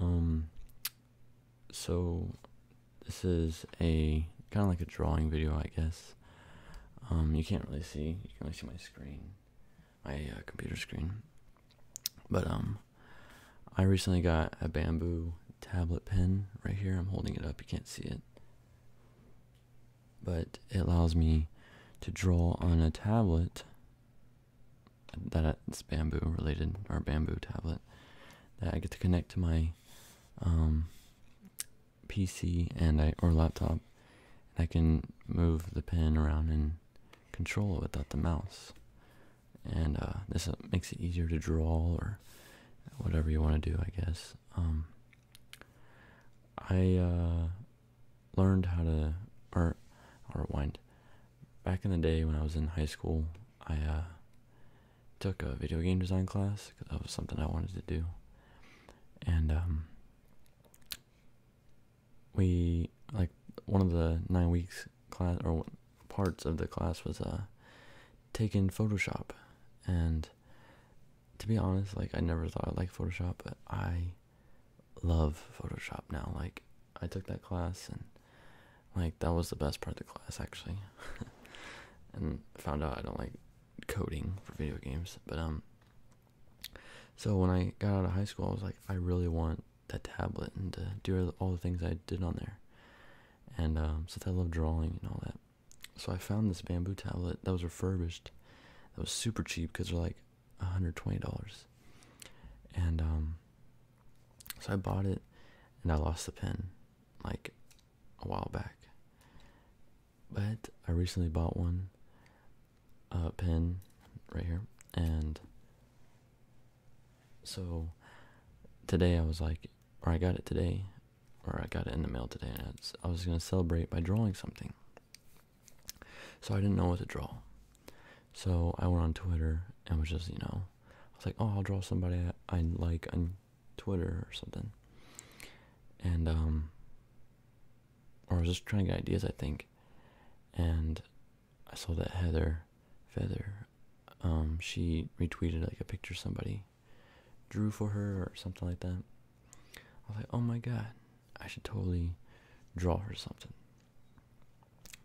Um, so this is a kind of like a drawing video, I guess. Um, you can't really see. You can only see my screen, my uh, computer screen. But um, I recently got a bamboo tablet pen right here. I'm holding it up. You can't see it, but it allows me to draw on a tablet that it's bamboo related or bamboo tablet that I get to connect to my um, PC and I or laptop, and I can move the pen around and control it without the mouse. And uh, this uh, makes it easier to draw or whatever you want to do, I guess. Um, I uh, learned how to or or rewind back in the day when I was in high school, I uh, took a video game design class because that was something I wanted to do, and um, we like one of the nine weeks class or parts of the class was uh, taking Photoshop, and to be honest, like I never thought I liked Photoshop, but I love Photoshop now. Like I took that class and like that was the best part of the class actually. and found out I don't like coding for video games, but um so when I got out of high school, I was like I really want that tablet and to do all the things I did on there. And um since I love drawing and all that. So I found this bamboo tablet that was refurbished. That was super cheap cuz they're like $120. And um so I bought it and I lost the pen like a while back. But I recently bought one uh pen right here and so today I was like or I got it today or I got it in the mail today and I was going to celebrate by drawing something. So I didn't know what to draw. So I went on Twitter and was just, you know, I was like, oh, I'll draw somebody I like on Twitter or something. And, um, or I was just trying to get ideas, I think. And I saw that Heather Feather, um, she retweeted like a picture somebody drew for her or something like that. I was like, oh my god, I should totally draw her something.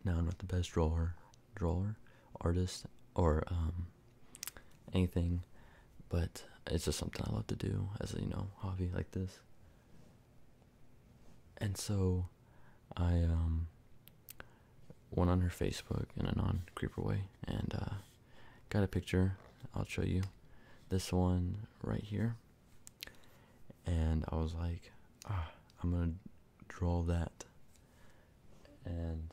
Now I'm not the best drawer, drawer, artist, or um, anything, but it's just something I love to do as a you know hobby like this. And so, I um went on her Facebook in a non creeper way and uh, got a picture. I'll show you this one right here. And I was like, ah, I'm gonna draw that. And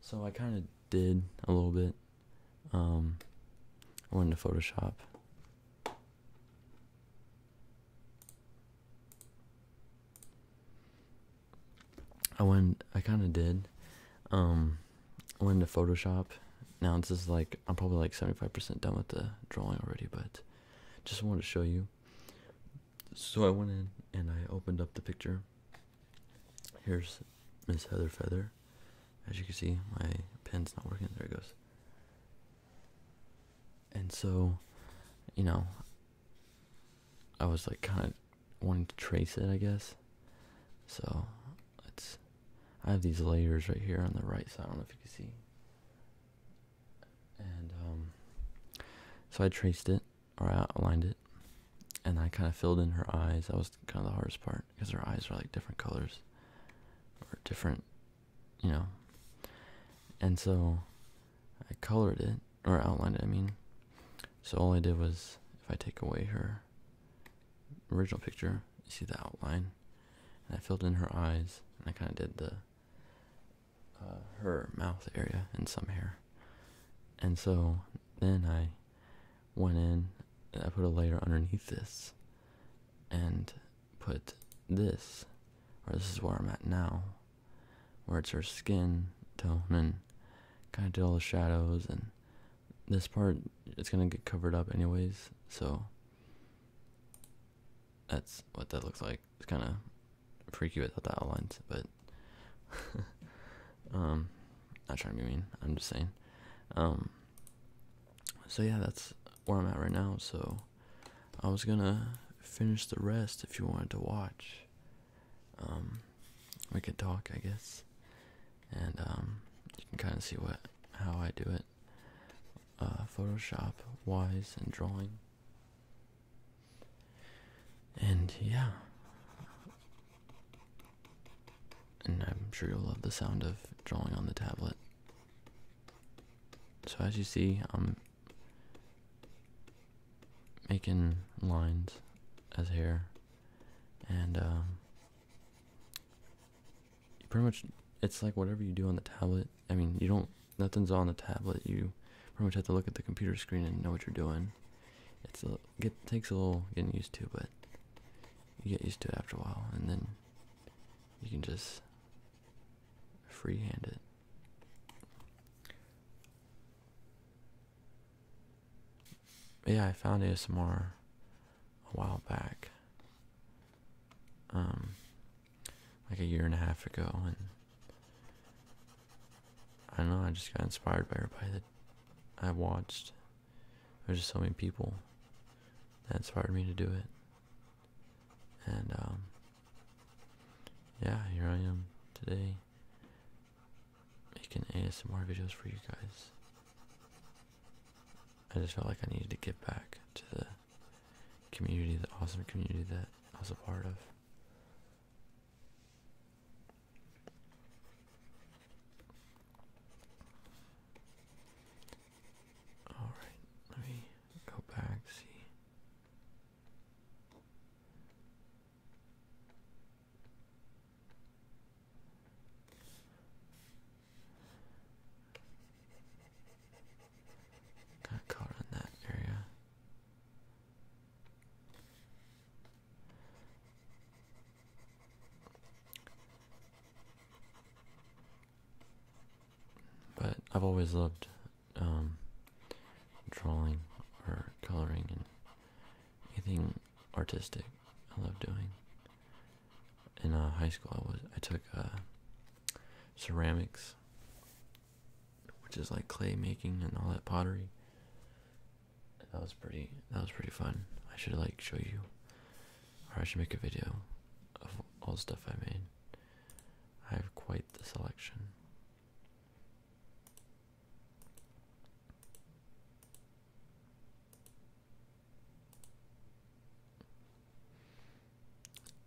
so I kind of did a little bit. Um, I went into Photoshop. I went, I kind of did. Um, I went into Photoshop. Now this is like, I'm probably like 75% done with the drawing already, but just wanted to show you. So I went in and I opened up the picture. Here's Miss Heather Feather. As you can see, my pen's not working. There it goes. And so, you know, I was like kind of wanting to trace it, I guess. So let's. I have these layers right here on the right side. I don't know if you can see and um, so I traced it or outlined it, and I kind of filled in her eyes. That was kind of the hardest part because her eyes are like different colors or different, you know. And so I colored it or outlined it. I mean, so all I did was if I take away her original picture, you see the outline, and I filled in her eyes, and I kind of did the uh, her mouth area and some hair. And so then I went in and I put a layer underneath this and put this, or this is where I'm at now, where it's her skin tone and kind of did all the shadows and this part it's gonna get covered up anyways so that's what that looks like it's kind of freaky without that outlines, but um, not trying to be mean. I'm just saying. Um, so yeah, that's where I'm at right now. So I was gonna finish the rest if you wanted to watch. Um, we could talk, I guess, and um, you can kind of see what how I do it, uh, Photoshop wise and drawing. And yeah. And I'm sure you'll love the sound of drawing on the tablet. So as you see, I'm making lines as hair and um, pretty much it's like whatever you do on the tablet i mean you don't nothing's on the tablet. You pretty much have to look at the computer screen and know what you're doing. It's a get it takes a little getting used to, but you get used to it after a while, and then you can just freehand it. Yeah, I found more a while back. Um, like a year and a half ago, and I don't know. I just got inspired by everybody that I watched. There's just so many people that inspired me to do it, and um, yeah, here I am today making ASMR videos for you guys. I just felt like I needed to get back to the community, the awesome community that I was a part of. All right, let me go back see. Kind caught on that area. But I've always loved um, drawing or coloring and anything artistic. I love doing. In uh, high school, I was I took uh, ceramics which is like clay making and all that pottery. That was pretty. That was pretty fun. I should like show you, or I should make a video of all the stuff I made. I have quite the selection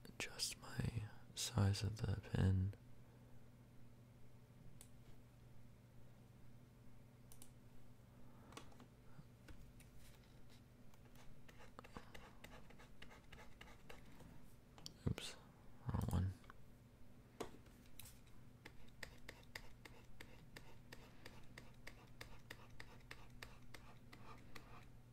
adjust my size of the pen. Oops, wrong one.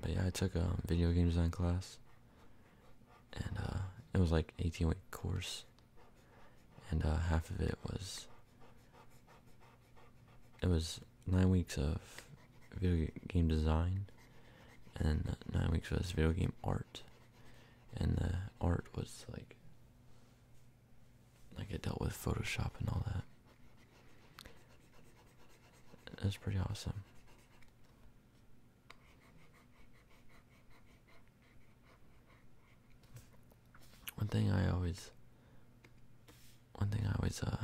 but yeah, I took a um, video game design class, and uh, it was like 18 week course, and uh, half of it was it was nine weeks of video game design, and uh, nine weeks was video game art, and the art was like like it dealt with Photoshop and all that. That's pretty awesome. One thing I always, one thing I always, uh,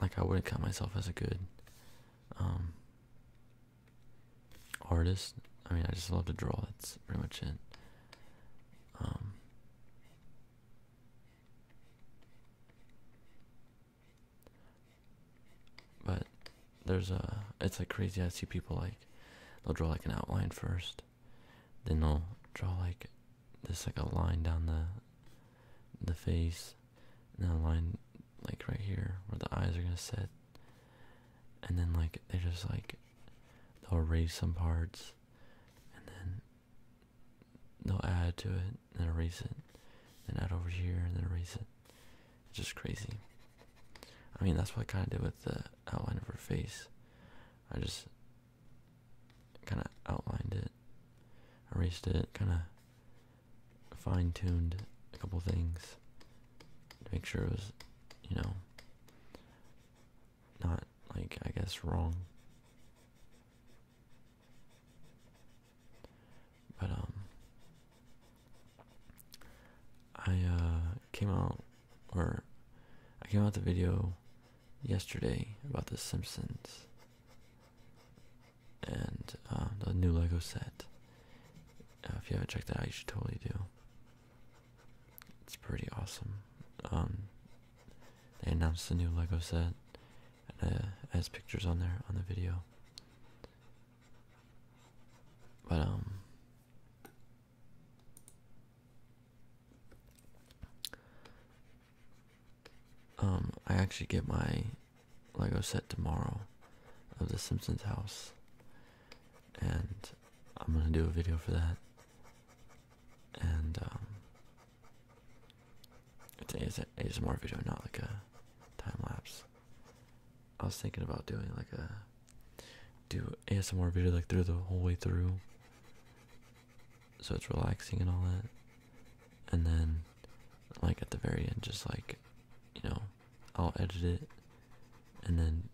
like I wouldn't count myself as a good, um, artist. I mean, I just love to draw. That's pretty much it. Um, but there's a, it's like crazy. I see people like, they'll draw like an outline first, then they'll draw like this, like a line down the, the face, and a line like right here where the eyes are gonna sit, and then like they just like, they'll erase some parts, and then they'll add to it, then erase it, then add over here, and then erase it. just crazy. I mean, that's what I kind of did with the outline of her face. I just kind of outlined it, erased it, kind of fine tuned a couple things to make sure it was, you know, not like, I guess, wrong. But um I uh came out or I came out the video yesterday about the Simpsons and uh, the new Lego set. Uh, if you haven't checked that out, you should totally do. It's pretty awesome. Um, they announced the new Lego set, and uh, it has pictures on there on the video. But um, um, I actually get my Lego set tomorrow of the Simpsons house, and I'm gonna do a video for that. And um, it's ASMR video, not like a time lapse. I was thinking about doing like a do ASMR video like through the whole way through, so it's relaxing and all that. And then, like at the very end, just like you know, I'll edit it, and then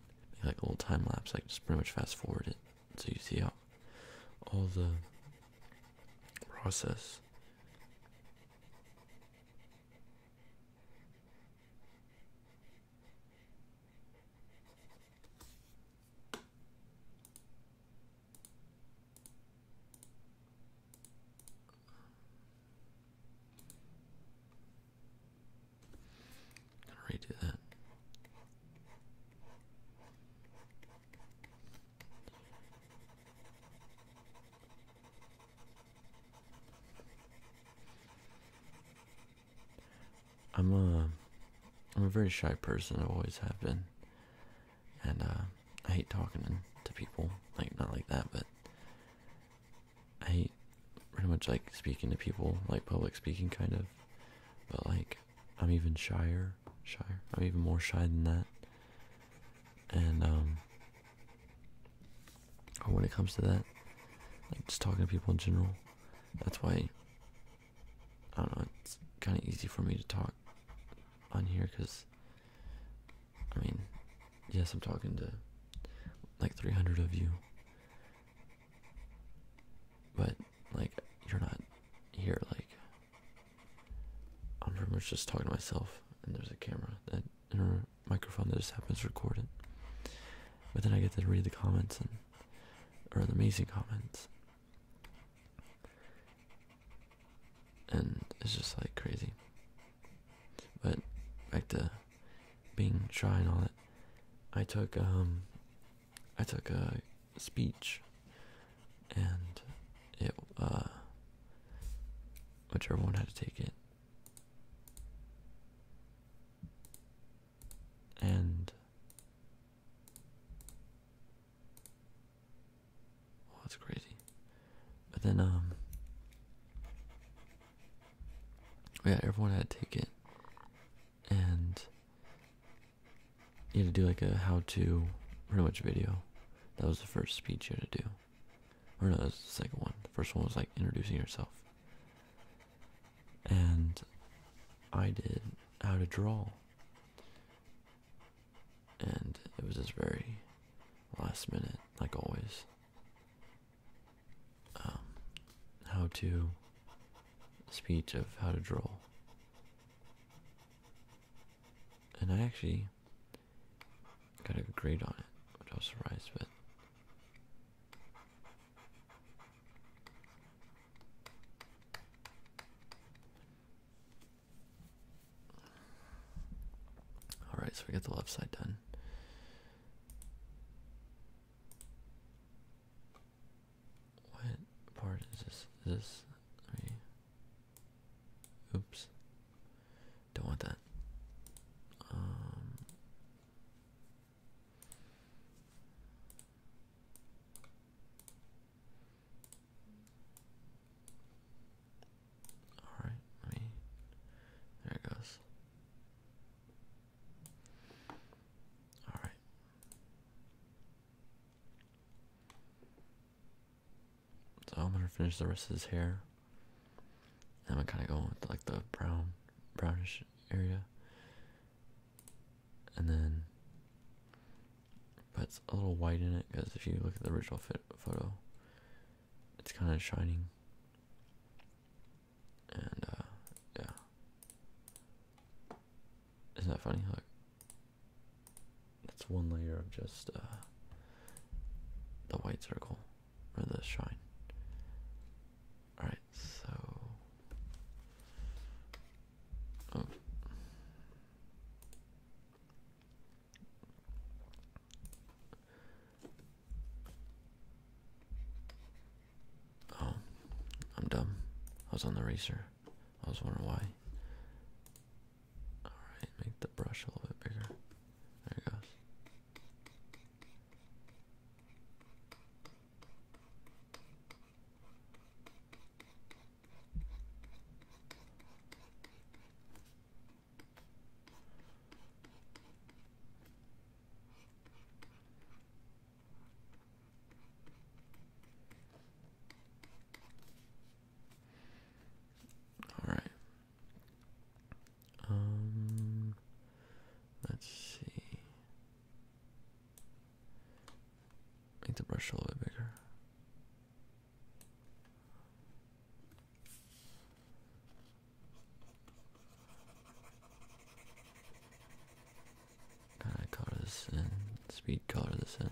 like a little time lapse, like just pretty much fast forward it, so you see how all the process. Redo that. I'm a I'm a very shy person. I have always have been, and uh, I hate talking to people. Like not like that, but I hate pretty much like speaking to people, like public speaking, kind of. But like, I'm even shyer, shyer. I'm even more shy than that. And um, oh, when it comes to that, like just talking to people in general, that's why I don't know. It's kind of easy for me to talk on here because I mean, yes, I'm talking to like 300 of you, but like you're not here like I'm pretty much just talking to myself, and there's a camera that or a microphone that just happens to record it. But then I get to read the comments and or the amazing comments, and it's just like crazy. But back to being shy and all that. I took um, I took a speech, and it uh, whichever one had to take it, and oh, that's crazy. But then um, yeah, everyone had to take it, and you had to do like a how-to pretty much video. That was the first speech you had to do. Or no, that was the second one. The first one was like introducing yourself. And I did how to draw. And it was just very last minute, like always. Um, how to speech of how to draw and I actually got a agreed on it, which I was surprised with. Alright, so we get the left side done. What part is this? this? Let Oops. Don't want that. Um, all right, there it goes. All right. So I'm gonna finish the rest of his hair. And I'm gonna kind of go with like the brown, brownish area, and then put a little white in it because if you look at the original fit photo, it's kind of shining. And uh, yeah, isn't that funny? Like, that's one layer of just uh, the white circle or the shine. Alright, so. Oh. oh. I'm dumb. I was on the racer. I was wondering why. Alright, make the brush a little bit bigger. There it goes. All right. Um, let's see. Make the brush a little bit bigger. I color this in, speed color this in.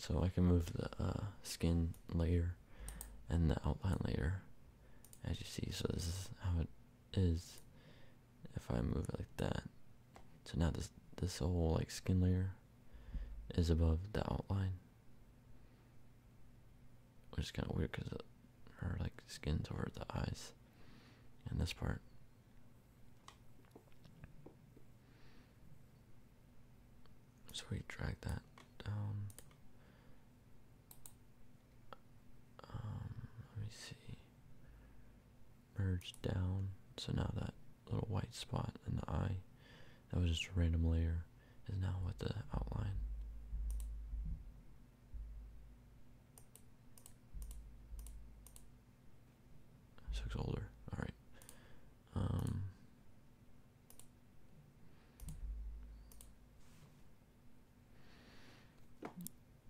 So I can move the uh, skin layer and the outline layer as you see. So this is how it is if I move it like that. So now this this whole like skin layer is above the outline, which is kind of weird because her like skin's over the eyes, and this part. So we drag that down. Um, let me see merged down. So now that little white spot in the eye that was just a random layer is now with the outline. Looks older. All right. Um,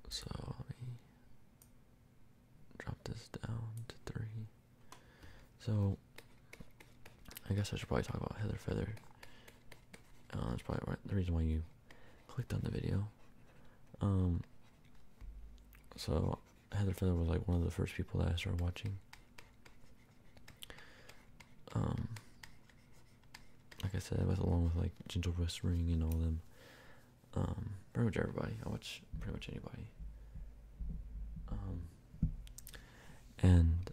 so let me drop this down to three. So, I guess I should probably talk about Heather Feather. Uh, that's probably the reason why you clicked on the video. Um, so Heather Feather was like one of the first people that I started watching. Um, like I said, was along with like Gentle Ring and all them, um, pretty much everybody. I watch pretty much anybody. Um, and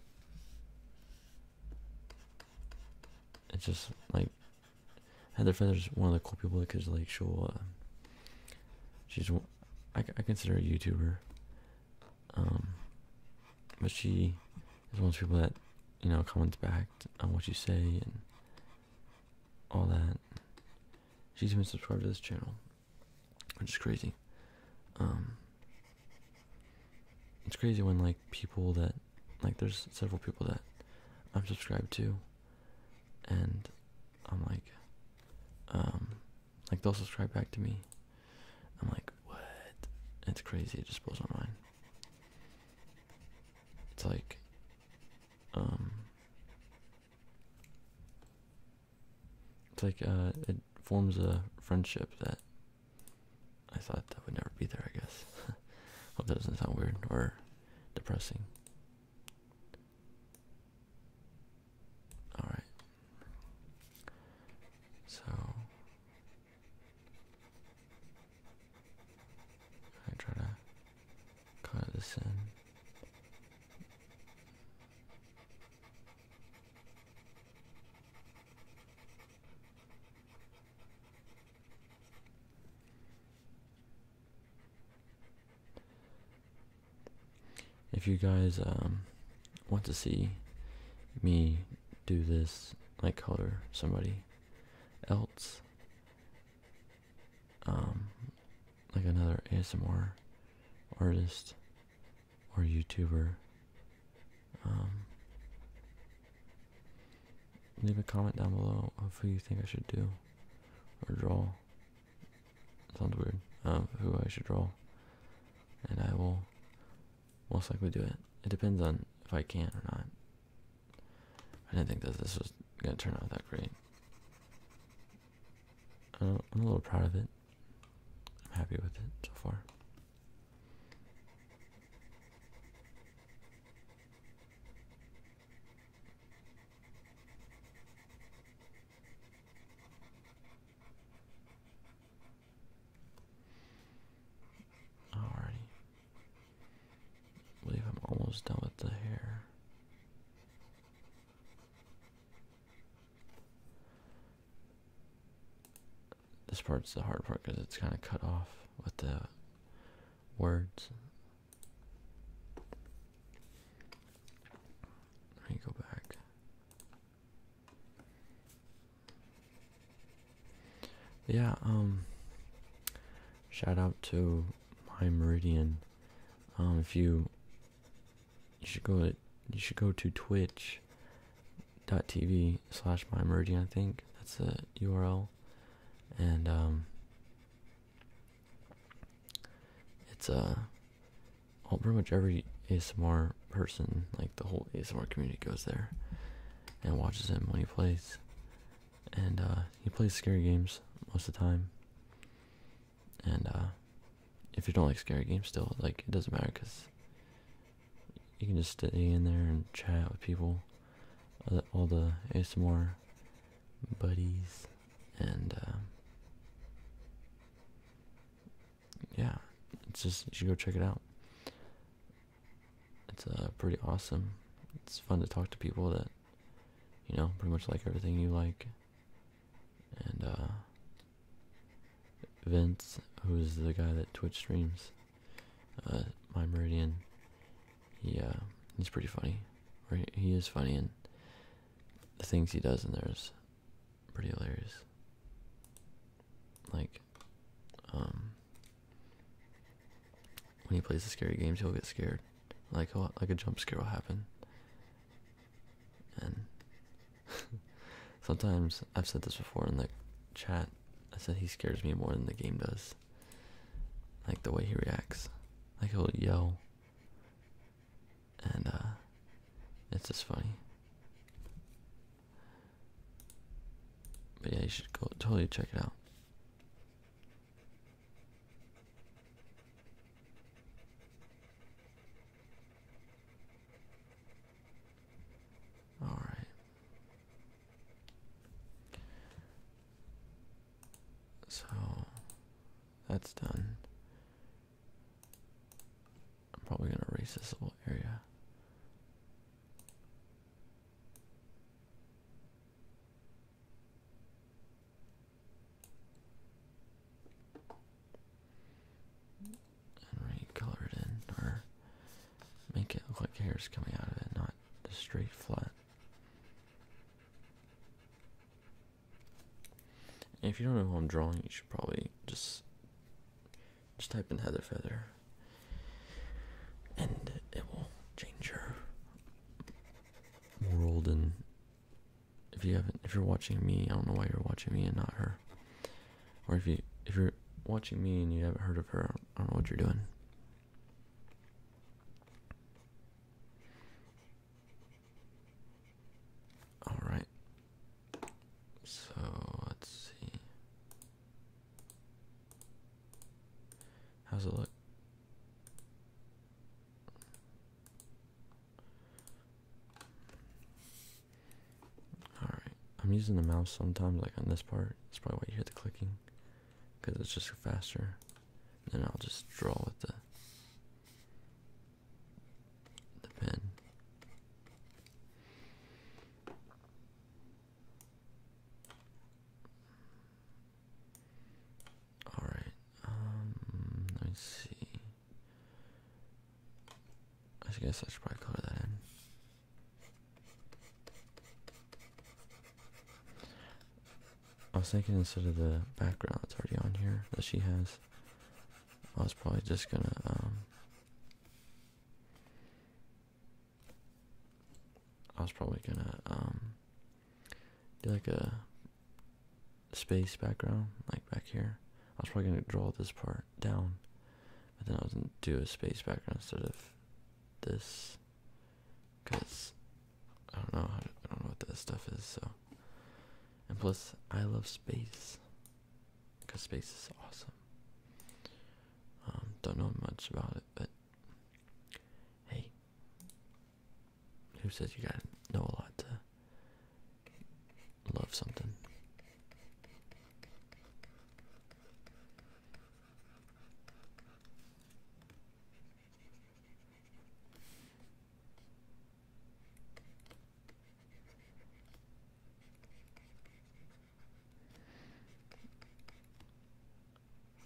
it's just like Heather Feather's one of the cool people because like she'll uh, she's I, I consider a YouTuber. Um, but she is one of the people that you know comments back on what you say and all that. She's even subscribed to this channel, which is crazy. Um, it's crazy when like people that like there's several people that I'm subscribed to, and I'm like, um, like they'll subscribe back to me. I'm like, what? It's crazy. It just blows my mind. It's like, um, it's like uh, it forms a friendship that I thought that would never be there. I guess. Hope that doesn't sound weird or depressing. All right. So I try to condescend. If you guys um, want to see me do this, like color somebody else, um, like another ASMR artist or YouTuber, um, leave a comment down below of who you think I should do or draw. Sounds weird. Um, who I should draw, and I will most likely do it. It depends on if I can or not. I didn't think that this was gonna turn out that great. I'm a little proud of it. I'm happy with it so far. Alrighty. believe I'm almost done with the hair. This part's the hard part because it's kind of cut off with the words. Let me go back. Yeah, um, shout out to my Meridian. Um, if you you should go to you should go to twitch.tv slash mymerging, I think. That's the URL. And um, it's a uh, well, pretty much every ASMR person, like the whole ASMR community goes there and watches him when he plays. And uh, he plays scary games most of the time and uh, if you don't like scary games still, like it doesn't matter because you can just stay in there and chat with people, uh, all the ASMR buddies, and uh, yeah, it's just you should go check it out. It's pretty awesome. It's fun to talk to people that you know pretty much like everything you like and uh, Vince, who's the guy that Twitch streams, uh, my Meridian, he uh, he's pretty funny, right? He is funny, and the things he does in there is pretty hilarious. Like, um, when he plays the scary games, he'll get scared. Like, like a jump scare will happen, and sometimes I've said this before in the chat. I said he scares me more than the game does. Like the way he reacts, like he'll yell, and uh, it's just funny. But yeah, you should go totally check it out. All right. So that's done. I'm probably going to erase this little area. And right, it in, or make it look like hair is coming out of it, not just straight flat. if you don't know who I'm drawing, you should probably just just type in Heather Feather, and it will change your world and if you haven't if you're watching me, I don't know why you're watching me and not her. Or if you if you're watching me and you haven't heard of her, I don't know what you're doing. All right. So, let's see. How's it look? Alright, I'm using the mouse sometimes, like on this part. That's probably why you hear the clicking, because it's just faster. Then I'll just draw with the the pen. All right. Um, let's see. I guess I should probably color that in. I was thinking instead of the background that's already on here that she has, I was probably just gonna um, I was probably gonna um, like a space background, like back here. I was probably gonna draw this part down, but then I was gonna do a space background instead of this, cause I don't know I don't know what this stuff is. So, and plus I love space, cause space is awesome. Um, don't know much about it, but hey, who says you gotta know a lot to love something?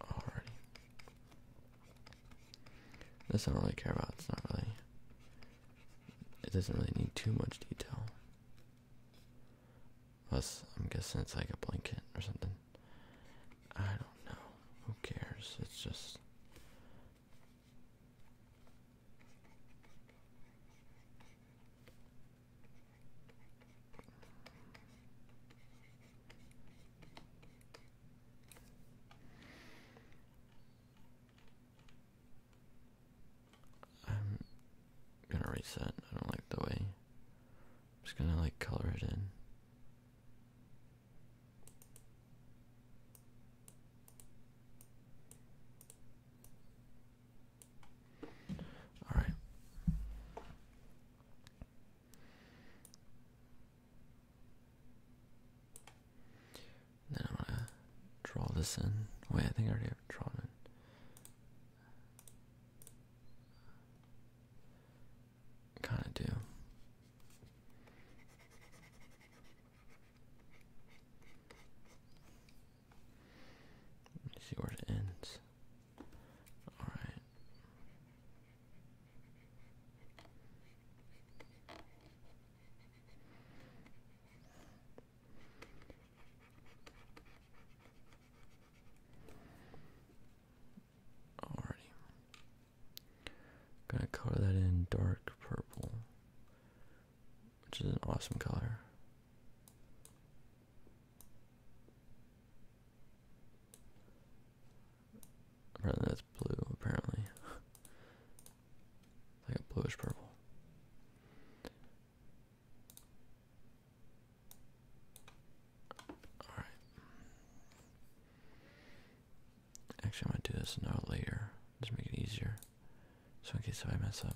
Alrighty. This I don't really care about. It's not really. It doesn't really need too much detail. Plus, I'm guessing it's like a blanket or something. I don't know. Who cares? It's just. I'm gonna reset. I don't like the way. I'm just gonna like color it in. All right. Then I'm gonna draw this in. Wait, oh, I think I already have drawn it. Kind of do. Let's see where it ends. All right. Alrighty. Gonna color that in dark purple, which is an awesome color. Apparently that's blue, apparently. like a bluish purple. Alright. Actually I might do this now later. Just make it easier. So in case if I mess up.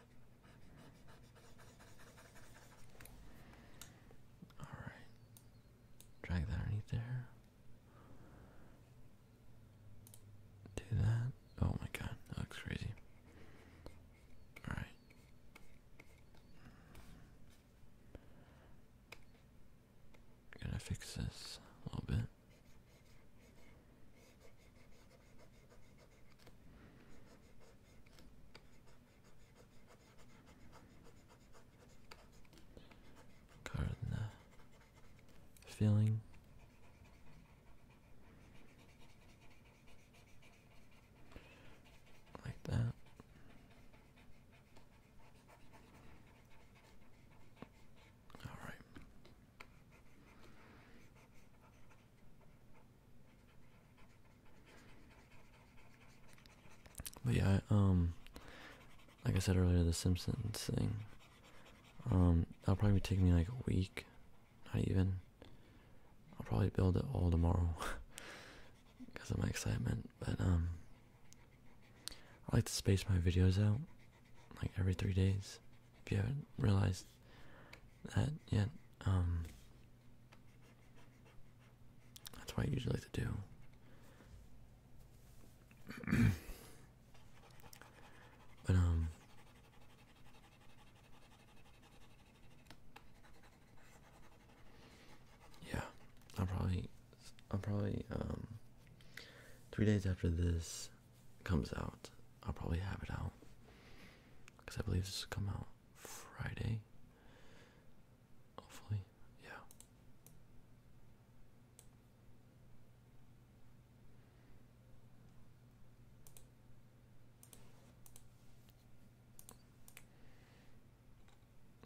Alright. Drag that underneath there. Do that. Oh my god, that looks crazy. Alright. Gonna fix this a little bit. Gardener uh, filling. Like that. All right. But yeah, um, like I said earlier, the Simpsons thing. Um, that'll probably take me like a week, not even. I'll probably build it all tomorrow because of my excitement. But um, I like to space my videos out like every three days if you haven't realized that yet, um, that's what I usually like to do. but, um, yeah, I'll probably, I'll probably, um, three days after this, comes out, I'll probably have it out because I believe this will come out Friday. Hopefully, yeah.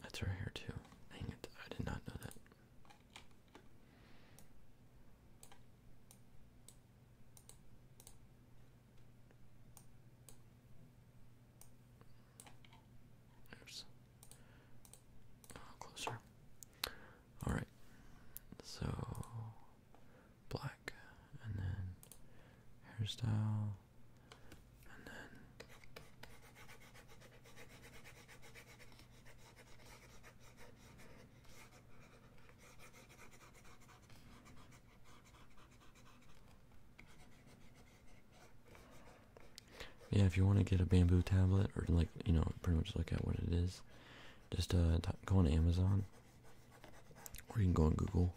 That's right here too. Dang it, I did not know that closer. All right. So black, and then hairstyle, and then. Yeah, if you want to get a bamboo tablet, or like, you know, pretty much look at what it is, just uh, go on Amazon, or you can go on Google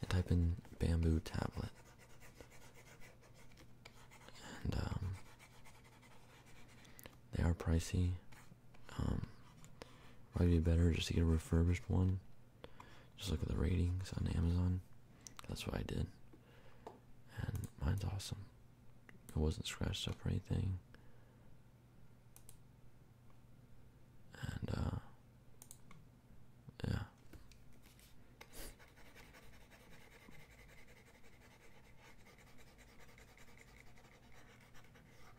and type in bamboo tablet. Um, they are pricey. Um, probably be better just to get a refurbished one. Just look at the ratings on Amazon. That's what I did. And mine's awesome. It wasn't scratched up or anything. And, uh, yeah.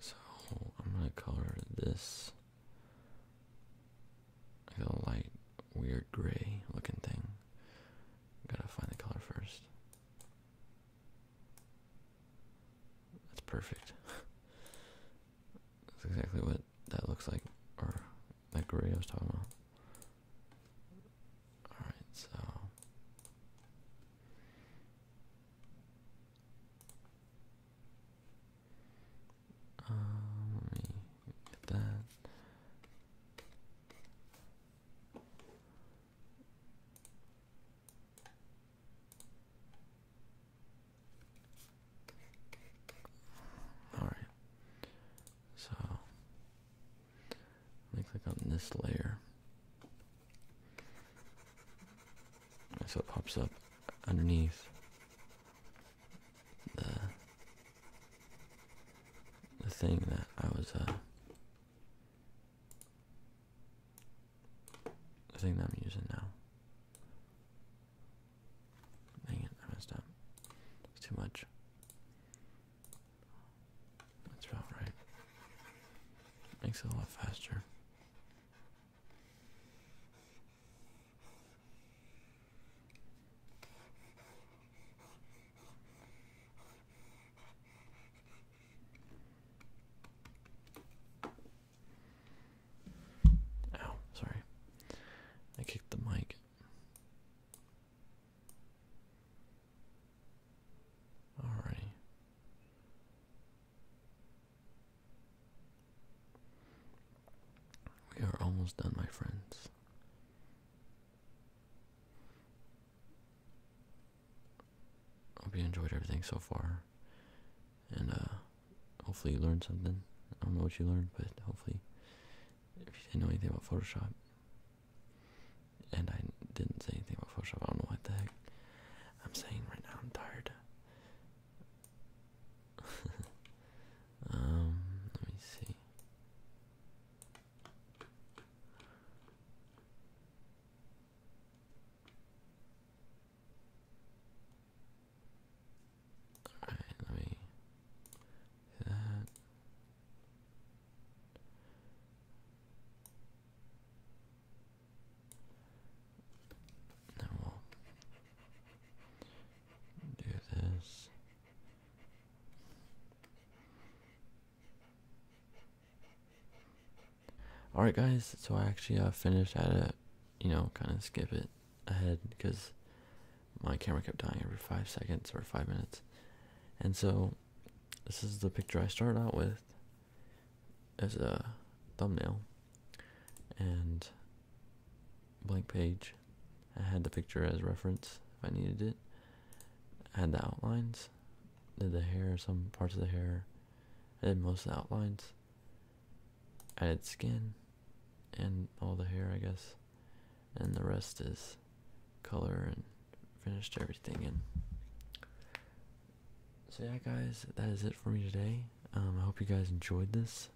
So I'm gonna color this like a light, weird gray looking thing. Gotta find the color first. That's perfect. That's exactly what that looks like, or that gray I was talking about. Alright, so um, let me get that. All right. So let me click on this layer. So it pops up underneath the the thing that I was uh, the thing that I'm using now. Dang it, I messed up. It's too much. That's about right. Makes it a lot faster. Ow, sorry. I kicked the mic. Alrighty. We are almost done, my friends. Hope you enjoyed everything so far. And uh, hopefully you learned something. I don't know what you learned, but hopefully if you didn't know anything about Photoshop, and I didn't say anything about Photoshop. I don't know what the heck I'm saying right now. I'm tired. um, let me see. All right, let me we'll do this. Alright guys, so I actually uh, finished, I had you know, kind of skip it ahead because my camera kept dying every 5 seconds or 5 minutes. And so this is the picture I started out with as a thumbnail and blank page. I had the picture as reference if I needed it. I had the outlines, did the hair, some parts of the hair. I did most of the outlines. Added skin and all the hair, I guess and the rest is color and finished everything in. So yeah, guys, that is it for me today. Um, I hope you guys enjoyed this.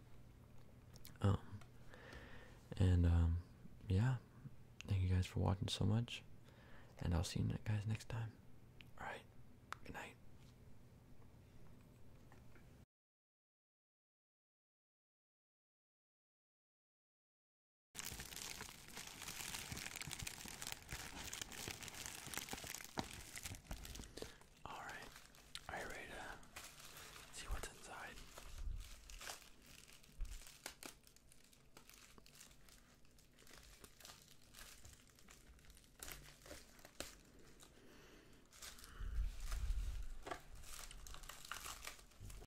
Um, and um, yeah, thank you guys for watching so much, and I'll see you guys next time. All right, good night. All right, are you ready to see what's inside?